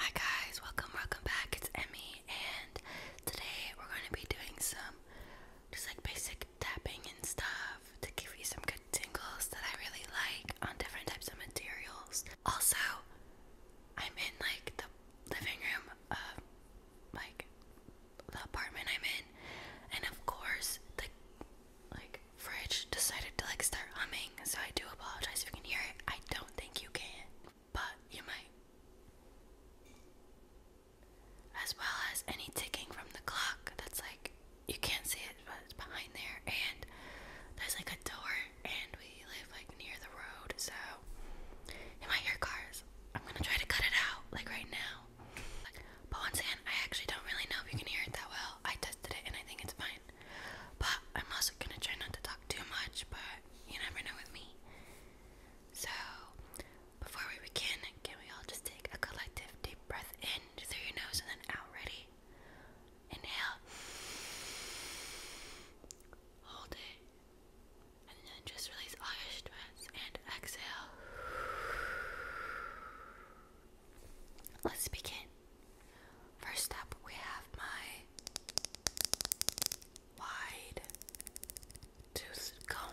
Hi guys, welcome, welcome back. It's Emmy, and today we're going to be doing some just like basic tapping and stuff to give you some good tingles that I really like on different types of materials. Also, I'm in like the living room of like the apartment I'm in, and of course, the like fridge decided to like start humming, so I do apologize if you can hear it. I don't think you can, but you might. As well as any ticking from the clock that's like you can't see it, but it's behind there, and there's like a door, and we live like near the road, so you might hear cars. I'm gonna try to cut it out like right now. But once again, I actually don't really know if you can hear it that well. I tested it and I think it's fine. But I'm also gonna try not to talk too much, but you never know with me. So, before we begin, can we all just take a collective deep breath in through your nose and then out? Ready? Inhale. Hold it. And then just release all your stress and exhale. Let's begin. First up, we have my wide tooth comb.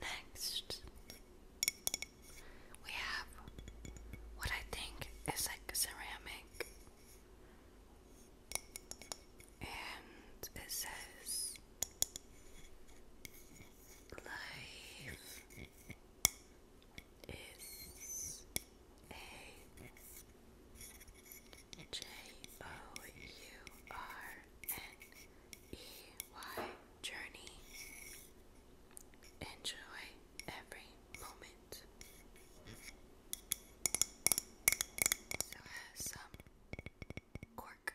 Next, we have what I think is like ceramic, and it says life is a J O U R N E Y Journey. Enjoy every moment. So has some cork.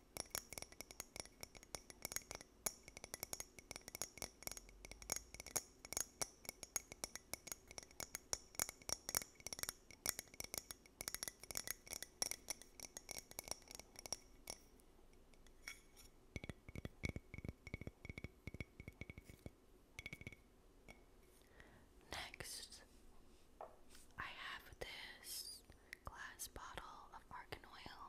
Next, I have this glass bottle of argan oil.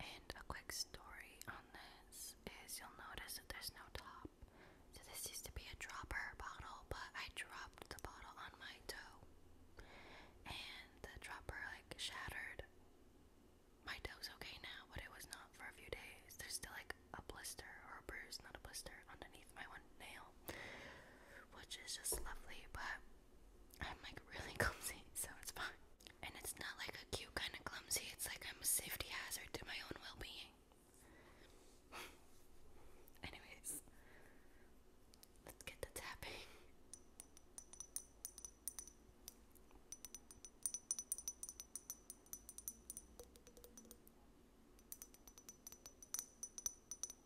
And a quick story on this is you'll notice that there's no top. So this used to be a dropper bottle, but I dropped the bottle on my toe. And the dropper like shattered. My toe's okay now, but it was not for a few days. There's still like a blister or a bruise, not a blister, underneath my one nail which is just lovely, but I'm like really clumsy, so it's fine. And it's not like a cute kind of clumsy, it's like I'm a safety hazard to my own well being. Anyways, let's get to tapping.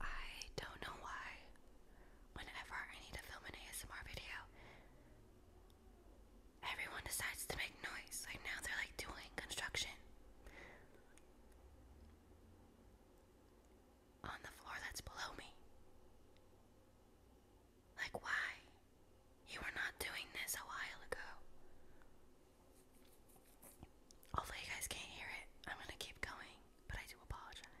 I don't know why, whenever I need to film an ASMR video, everyone decides to make noise. Like now they're like doing construction on the floor that's below me. Like, why? You were not doing this a while ago. Hopefully, you guys can't hear it. I'm gonna keep going, but I do apologize.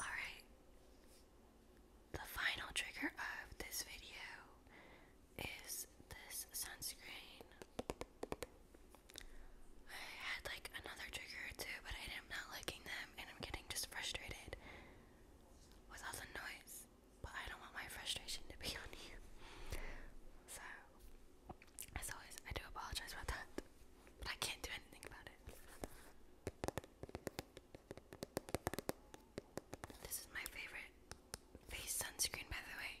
All right. The final trigger of this video is this sunscreen. I had like another trigger or but I am not liking them, and I'm getting just frustrated with all the noise. But I don't want my frustration to be on you. So, as always, I do apologize about that, but I can't do anything about it. This is my favorite face sunscreen, by the way.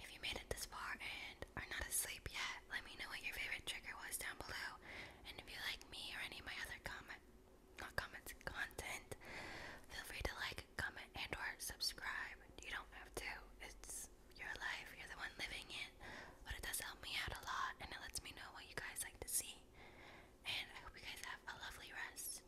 If you made it this far and are not asleep yet, let me know what your favorite trigger was down below. And if you like me or any of my other comment, not comments, content, feel free to like, comment, and or subscribe. You don't have to. It's your life. You're the one living it. But it does help me out a lot and it lets me know what you guys like to see. And I hope you guys have a lovely rest.